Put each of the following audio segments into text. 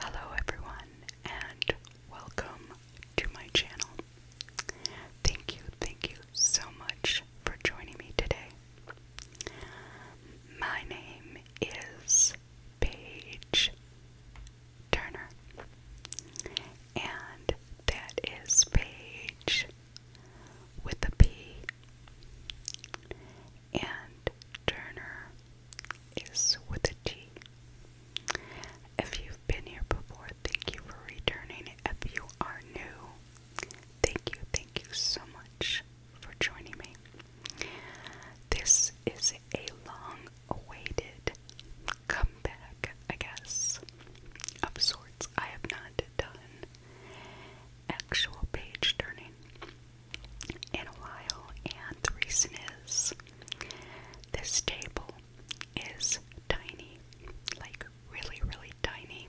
Hello, everyone, and welcome to my channel. Thank you, thank you so much for joining me today. My name is Paige Turner, and that is Paige with a P and Turner is with a T. If you've been here before, thank you for returning. If you are new, thank you, thank you so much for joining me. This is a long awaited comeback, I guess, of sorts. I have not done actual page turning in a while, and the reason is this table is tiny like, really, really tiny,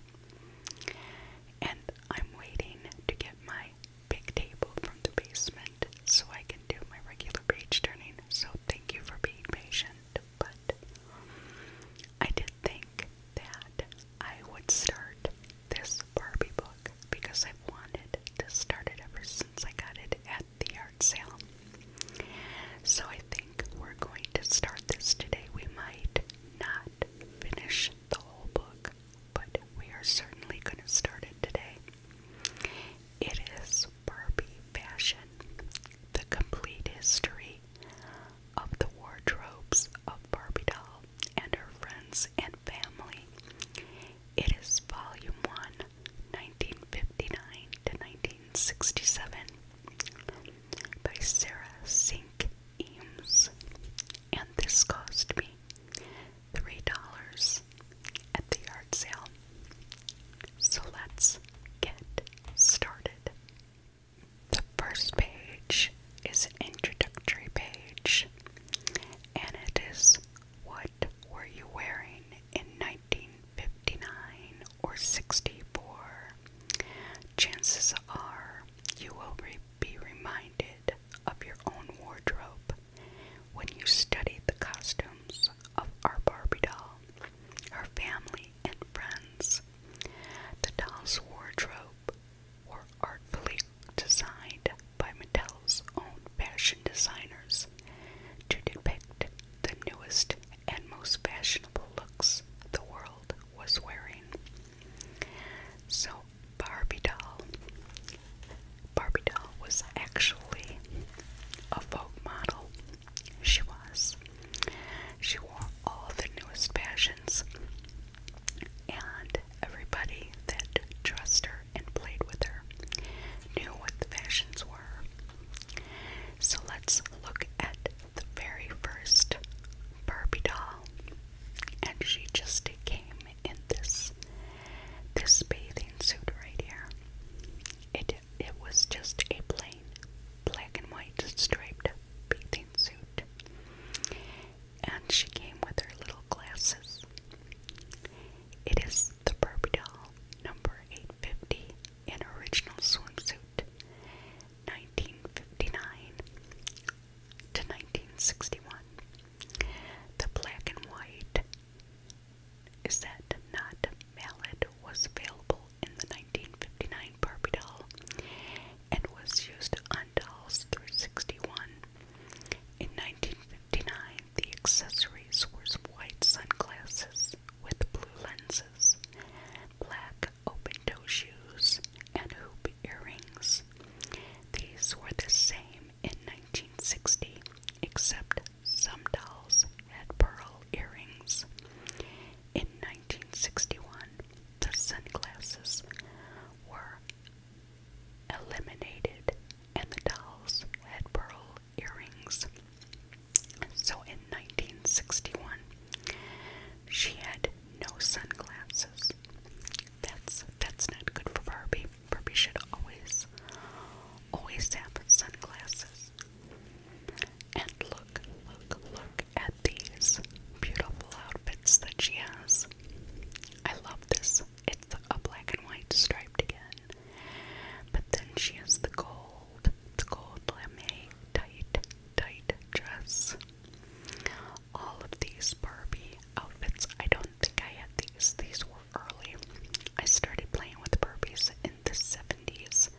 and I'm waiting to get my big table from the basement so I can do my regular page turning. So, thank you for being patient, but I did think that I would start this Barbie book because i wanted to start it ever since I got it at the art sale. So I think we're going to start this today. We might not finish the whole book, but we are certainly going to start it today. It is Barbie Fashion The Complete History of the Wardrobes of Barbie Doll and Her Friends and Family. It is Volume 1, 1959 to 1967, by Sarah Sink Eames. And this cost me $3 at the yard sale. So let's get started. The first page is introductory page, and it is What Were You Wearing in 1959 or 64? Chances are you will be reminded of your own wardrobe when you study the costumes of our Barbie doll, her family, and friends. The doll's wardrobe were artfully designed by Mattel's own fashion designers to depict the newest and most fashionable looks the world was wearing. So, Barbie doll. Barbie doll was actually a Vogue model. She was. She wore all the newest fashions and everybody that trusted her and played with her knew what the fashions were. So let's look at the very first Barbie doll, and she just came in this this bathing suit right here. It it was just a plain black and white striped bathing suit and she came with her little glasses. It is the Barbie doll number 850 in original swimsuit, 1959 to 1961. The black and white is that mallet was available in the 1959 Barbie doll and was used on dolls through 61. In 1959, the accessories were white sunglasses with blue lenses, black open toe shoes, and hoop earrings. These were the same in 1960, except some dolls had pearl earrings. In 1961, the sunglasses were eliminated, and the dolls had pearl earrings. So in 1961, she had no sunglasses. That's that's not good for Barbie. Barbie should always, always have sunglasses. And look, look, look at these beautiful outfits that she has. I love this it's a black and white striped again. But then she has the gold, the gold lame tight, tight dress. All of these Barbie outfits, I don't think I had these. These were early. I started playing with Barbies in the 70s.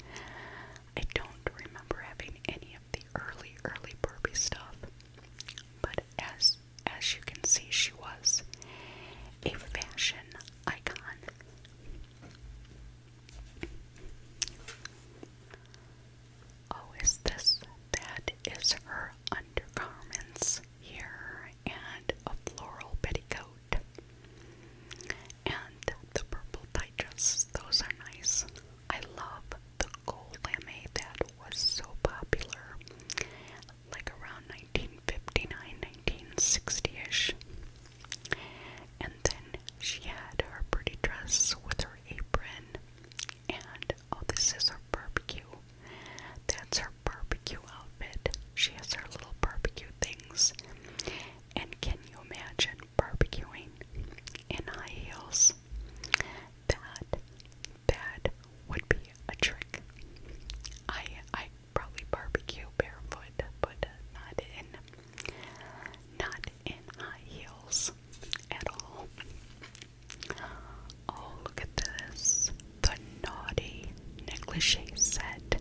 I don't remember having any of the early, early Barbie stuff. But as as you can see, she was a fashion icon. Oh, is this? That is her undergarments here and a floral petticoat. And the purple tight those are nice. I love the gold lame that was so popular like around 1959 1960ish and then she had her pretty dress with her apron and oh this is her barbecue that's her barbecue outfit she has her little barbecue things and can you imagine barbecuing in high heels that that would be a trick. I I probably barbecue barefoot, but not in not in high heels at all. Oh, look at this. The naughty negligee set.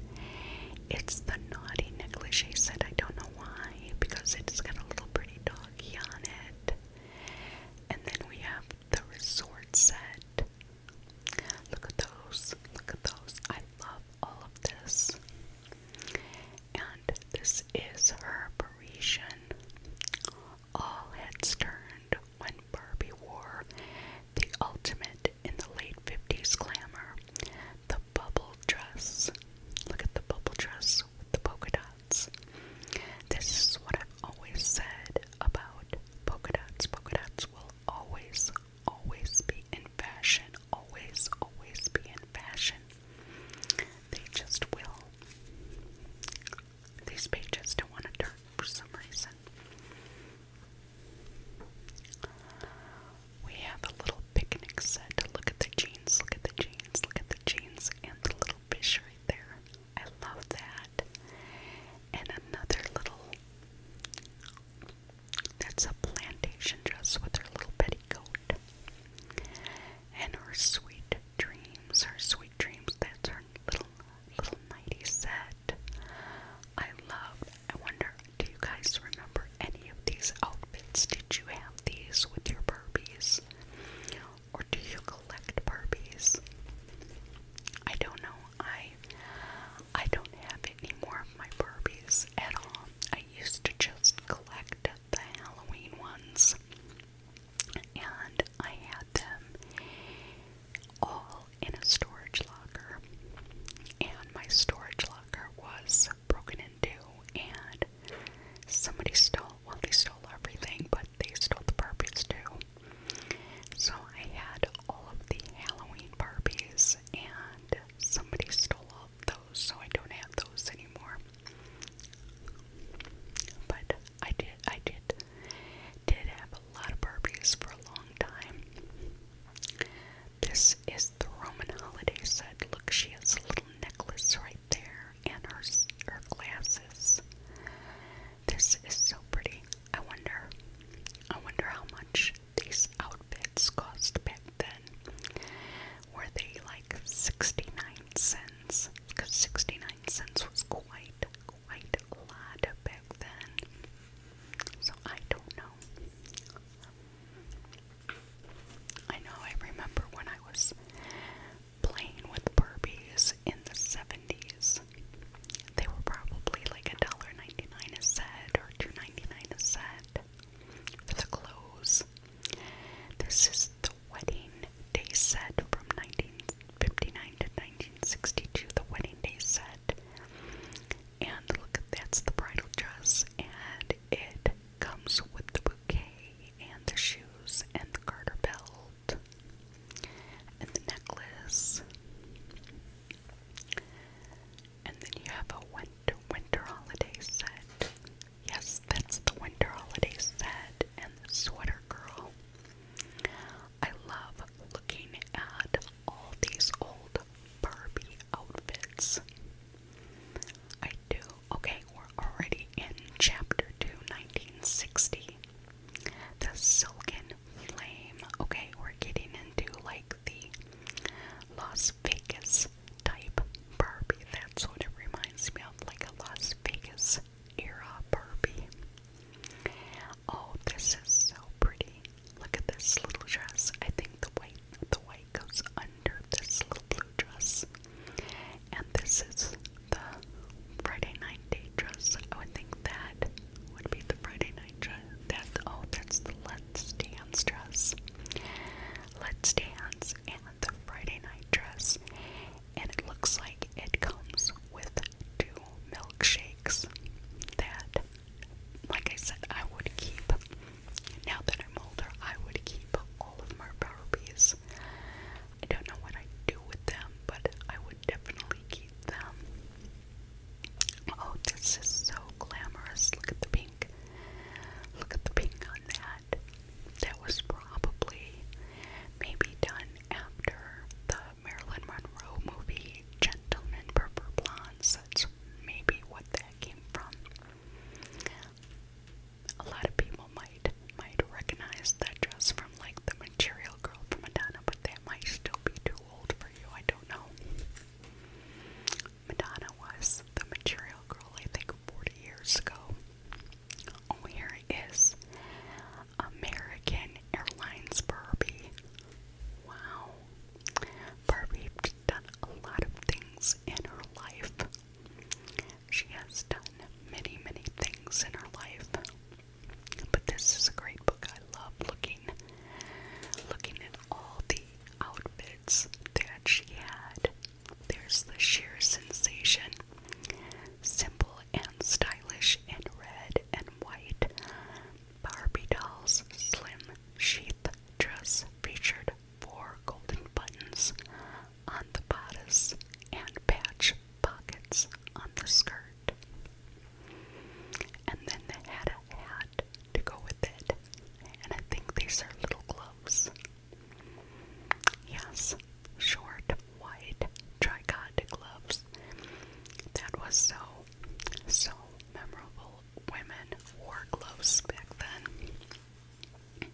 It's the naughty negligee set. I don't know why, because it's got a little pretty doggy on it. And then we have the resort set. Look at those. Look at those. I love all of this. And this is her Parisian. All heads turned when Barbie wore the ultimate in the late 50s glamour the bubble dress. Look at the bubble dress with the polka dot. This is what I've always said about polka dots. Polka dots will always, always be in fashion. Always, always be in fashion. They just will. These pages don't want to turn for some reason. We have a little picnic set. to Look at the jeans, look at the jeans, look at the jeans, and the little fish right there. I love that. And another little that's a plantation dress with her little petticoat. And her sweet dreams, her sweet dreams, that's her little little nighty set. I love I wonder, do you guys remember any of these outfits? Did you have these with your Barbies? Or do you collect Barbies? I don't know. I I don't have any more of my Barbies at all. I used to just collect the Halloween ones. And I had them all in a storage locker. And my storage locker was broken into and somebody stole well they stole everything, but they stole the Barbies too. So I had all of the Halloween Barbies and somebody stole all those, so I don't have those anymore. But I did I did did have a lot of Barbies for a long time. This is the Roman holiday set. Look, she has a little necklace right there and her her glasses. This is so pretty. I wonder. I wonder how much these outfits cost back then. Were they like 69 cents? Because 69 cents was quite, quite a lot back then. So I don't know. I know I remember when I was playing with Barbies in the 70s. They were probably like a dollar ninety nine a set or two ninety nine a set for the clothes. This is the wedding day set from 1959 to 1962, the wedding day set. And look, that's the bridal dress, and it comes with the bouquet and the shoes and the garter belt and the necklace. And then you have a winter winter holiday set. Yes, that's the winter holiday set and the sweater girl. I love looking at all these old Barbie outfits. I do. Okay, we're already in chapter 2, the Silken Flame. Okay, we're getting into like the Las Vegas type Barbie. That's what it reminds me of, like a Las Vegas era Barbie. Oh, this is so pretty. Look at this little dress. I think the white the white goes under this little blue dress. And this is the Friday night dress. I would think that would be the Friday night dress. That oh, that's the Let's Dance dress. Let's Dance and the Friday night dress, and it looks like it comes with two milkshakes. That, like I said, I would keep. Now that I'm older, I would keep all of my Barbies. I don't know what I'd do with them, but I would definitely keep them. Oh, this is so glamorous. Look at the pink. Look at the pink on that. That was probably maybe done after the Marilyn Monroe movie Gentlemen Purple Blondes. That's maybe what that came from. A lot of people might might might recognize that dress from like the material girl from Madonna, but that might still be too old for you. I don't know. Madonna was the material girl, I think, 40 years ago. Oh, here it is. American Airlines Barbie. Wow. Barbie done a lot of things in her life. She has done many, many things in her life. But this is a great book. I love looking looking at all the outfits that she had. There's the sheer sensation. Simple and stylish in red and white. Barbie doll's slim sheath dress featured four golden buttons on the bodice and patch pockets on the skirt. And then they had a hat to go with it. And I think these are little gloves. Yes, short, white, tricod gloves. That was so, so memorable. Women wore gloves back then.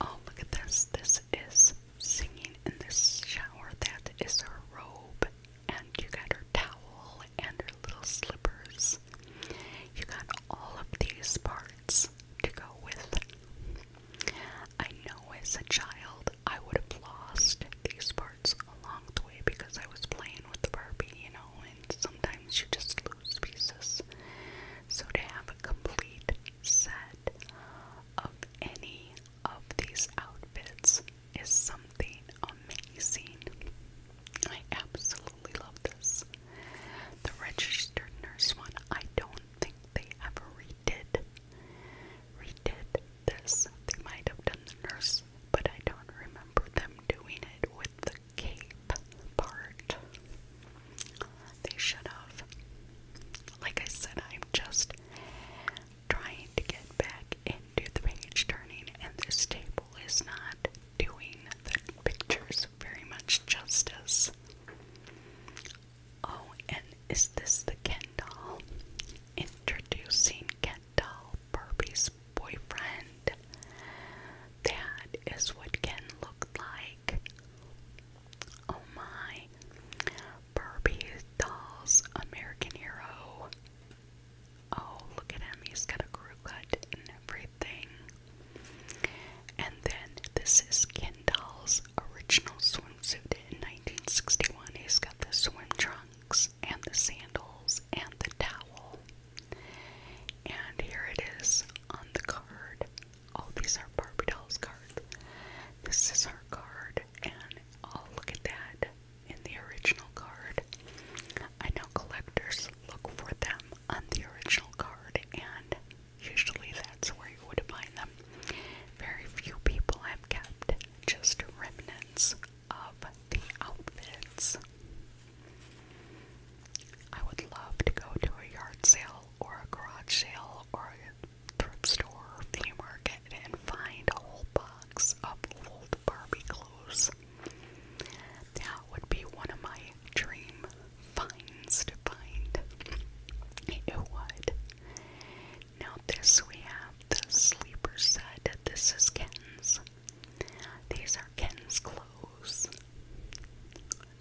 Oh, look at this. This is singing in this shower. That is her robe, and you got her towel and her little slippers. You got all of these parts to go with. I know as a child I would have lost these parts along the way because I was playing with the Barbie, you know, and sometimes you just lose pieces. So to have a complete set of any of these outfits is something amazing. I absolutely love this. The registered nurse one, I don't think they ever redid redid this. They might have done the nurse, but I don't remember them doing it with the cape part. They should have. Like I said, I'm just trying to get back into the page turning, and this table is not doing the pictures very much justice. Oh, and is this the Ken doll? Introducing Ken doll, Barbie's boyfriend. That is what Ken looked like. Oh my. Barbie Dolls American Hero. Oh, look at him. He's got a crew cut and everything. And then this is Ken Doll's original swimsuit in 1961. He's got the swim trunks and the sandals and the towel. And here it is on the card all these are Barbie dolls cards. This is her card, and oh, look at that in the original card. I know collectors look for them on the original card, and usually that's where you would find them. Very few people have kept just remnants of the outfits. I would love to go to a yard sale or a garage sale or a thrift store flea market and find a whole box of old Barbie clothes. That would be one of my dream finds to find. It would. Now this we have the sleeper set. This is Ken's. These are Ken's clothes.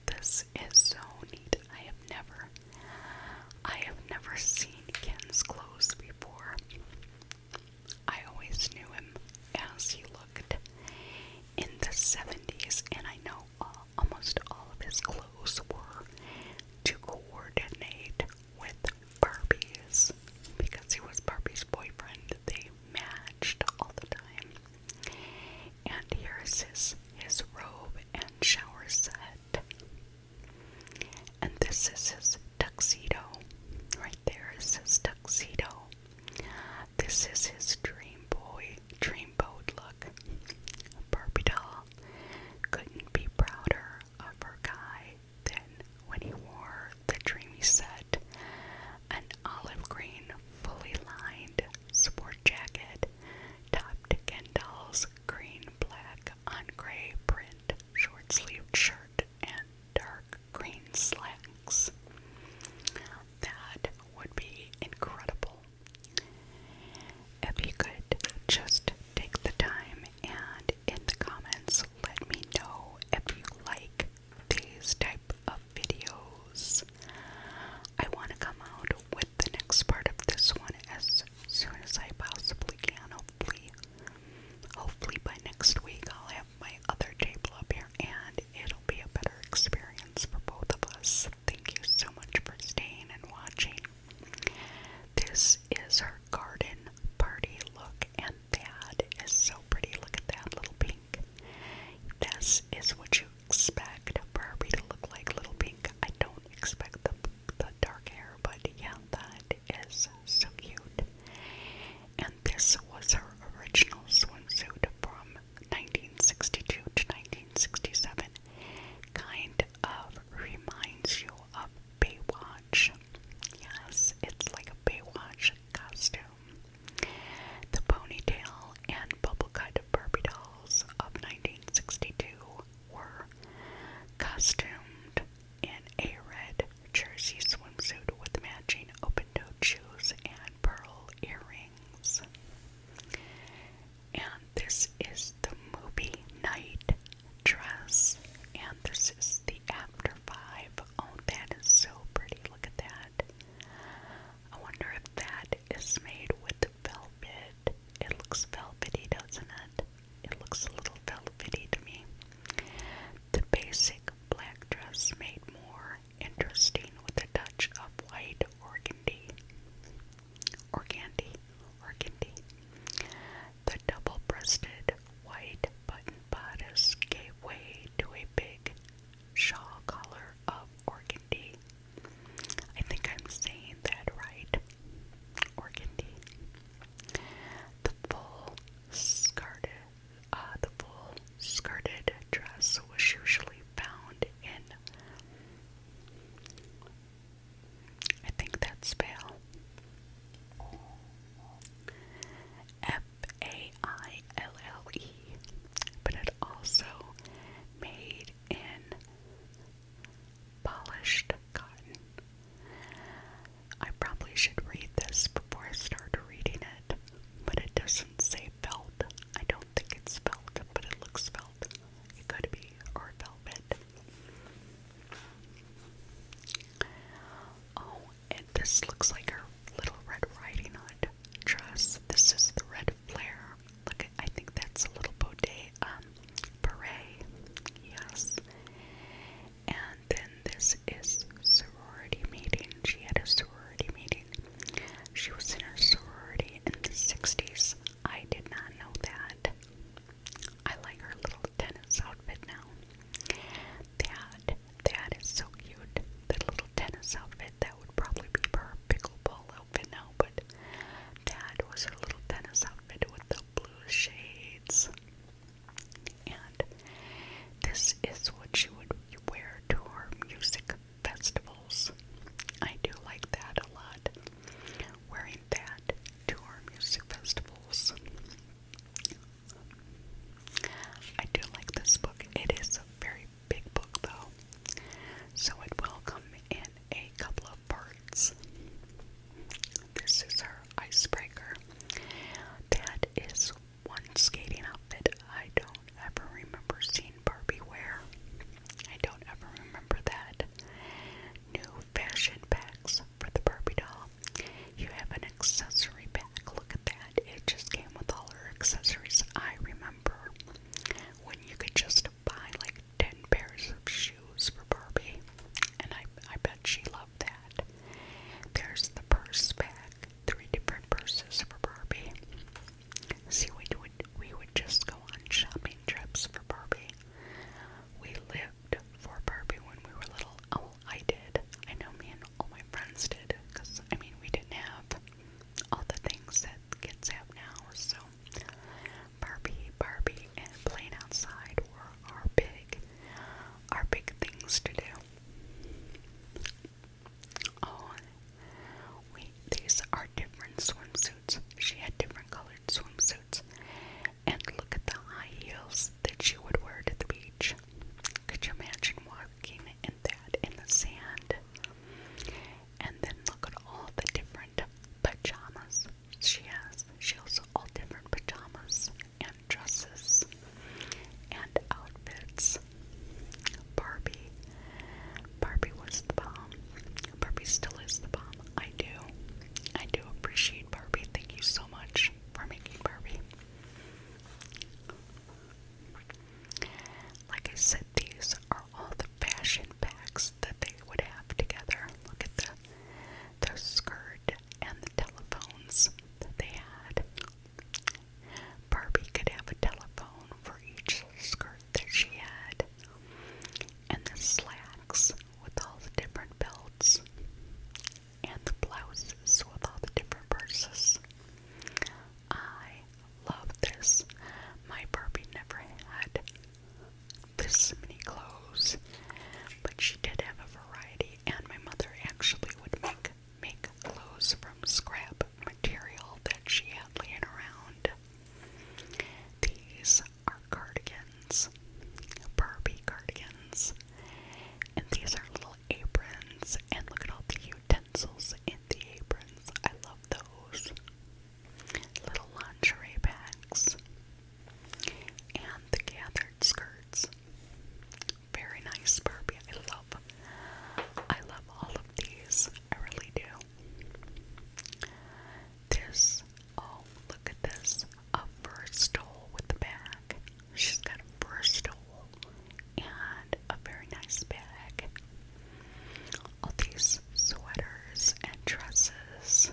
This is so neat. I have never I have never seen Ken's clothes before. I always knew him as he looked in the 70s and I know uh, almost all of his clothes were to coordinate with Barbie's because he was Barbie's boyfriend. They matched all the time. And here's his his robe and shower set. And this is his tuxedo. Right there is his tuxedo. This is his dream boy, dream boat look. Barbie doll couldn't be prouder of her guy than when he wore the dreamy set, an olive green, fully lined sport jacket, topped Kendall's green, black, on gray print short sleeved shirt and dark green slacks. That would be incredible. If you could just take the time and in the comments let me know if you like these type of videos. I want to come out the next part of this one as soon as I possibly can. Hopefully, hopefully by next week I'll have my other table up here and it'll be a better experience for both of us. Thank you so much for staying and watching. This is our garden party look, and that is so pretty. Look at that little pink. This is what you expect Barbie to look like Little Pink. I don't expect the, the dark hair, but yeah, that is so cute. And this was her original swimsuit from 1962 to 1967. Kind of reminds you of Baywatch. Yes, it's like a Baywatch costume. The ponytail and bubble cut Barbie dolls of 1962 were costumed in a red jersey swimsuit with matching open-toed shoes and pearl earrings. And this is the movie night dress. And this is the after five. Oh, that is so pretty. Look at that. I wonder if that is made with velvet it. looks velvety, doesn't it? It looks a little velvety to me. The basic black dress made more interesting with a touch of white organdy. Organdy, organdy. The double-breasted white button bodice gave way to a big shawl collar of organdy I think I'm saying that right. Organdy. The full skirted, uh, the full skirted dress was usually found in. I think that's pale. F A I L L E, but it also made in Polished cotton. I probably should read this before I start reading it, but it doesn't say felt. I don't think it's felt, but it looks felt. It could be, or velvet. Oh, and this looks like her little Red Riding Hood dress. This is the Red colored Look, I think that's a little boudet um, beret. Yes. And then this is sorority meeting. She had a sorority meeting. She was in her sorority in the 60s. I did not know that. I like her little tennis outfit now. That that is so cute. The little tennis outfit that would probably be her pickleball outfit but that was her little tennis outfit with the blue shades. And this is what she would wear to her music festivals. I do like that a lot. Wearing that to her music festivals. I do like this book. It is a very big book, though. So it will come in a couple of parts. This is our icebreaker. That is one skating outfit I don't ever remember seeing Barbie wear. I don't ever remember that. New fashion packs for the Barbie doll. You have an accessory pack. Look at that. It just came with all her accessories. I remember when you could just to buy like 10 pairs of shoes for Barbie, and I, I bet she loved that. There's the purse bag, three different purses for Barbie. See, we would, we would just go on shopping trips for Barbie. We lived for Barbie when we were little. Oh, I did. I know me and all my friends did, because I mean, we didn't have all the things that kids have now, so Barbie, Barbie, and playing outside were our big, our big things to do. Oh, wait, these are different swimsuits. She had different colored swimsuits. And look at the high heels that she would wear to the beach. Could you imagine walking in that in the sand? And then look at all the different pajamas. She has she also all different pajamas and dresses and outfits. Barbie. Barbie was the bomb. Barbie still is the bomb. I do. I do appreciate Barbie. Thank you so much for making Barbie. Like I said, these are all the fashion packs that they would have together. Look at the their skirt and the telephones that they had. Barbie could have a telephone for each skirt that she had. And the slacks with all the different belts. And the blouses with all the different purses. I love this. My Barbie never had this many clothes, but she did have a variety, and my mother actually would make make clothes from scrap material that she had laying around. These are cardigans, Barbie cardigans, and these are little aprons. And look at all the utensils in the aprons. I love those little lingerie bags, and the gathered skirts. Very nice Barbie. I love I love all of these. I really do. This oh look at this. A fur stole with the bag. She's got a fur stole and a very nice bag all these sweaters and dresses.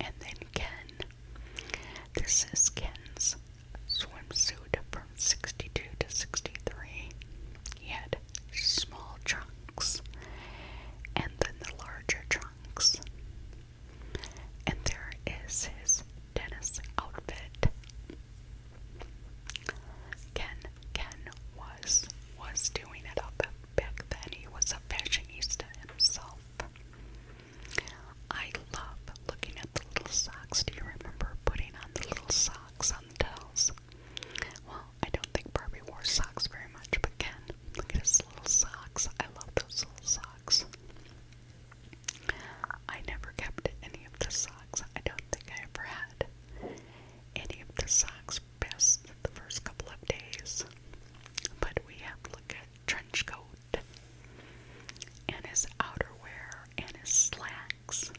And then Ken. This is Ken's swimsuit from 62 to 63. He had small trunks and then the larger trunks. And there is his tennis outfit. Ken Ken was was doing it up Back then, he was a fashionista himself. I love looking at the little socks. Do you remember putting on the little socks on the dolls? Well, I don't think Barbie wore socks very much, but Ken, look at his little socks. I love those little socks. I never kept any of the socks. I don't think I ever had any of the socks best the first couple of days, but we have look at trench coat and his outerwear and his slacks.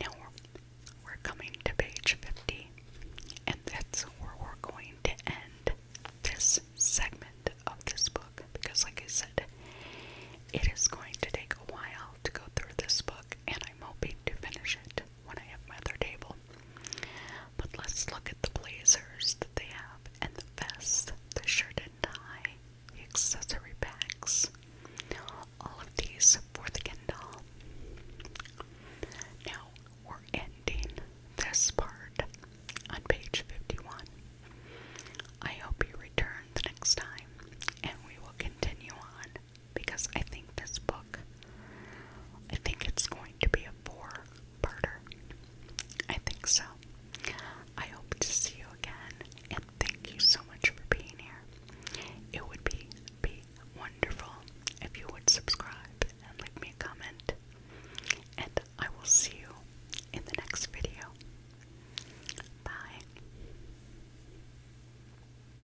Now we're coming to page 50, and that's where we're going to end this segment of this book because, like I said, it is going to take a while to go through this book, and I'm hoping to finish it when I have my other table. But let's look at the blazers that they have, and the vest, the shirt and tie, accessory packs. All of these for the Kindle. Now we're ending this part on page 51. I hope you return the next time and we will continue on because I think this book, I think it's going to be a four-parter. I think so. I hope to see you again, and thank you so much for being here. It would be be wonderful if you would subscribe and leave me a comment. And I will see you in the next video. Bye.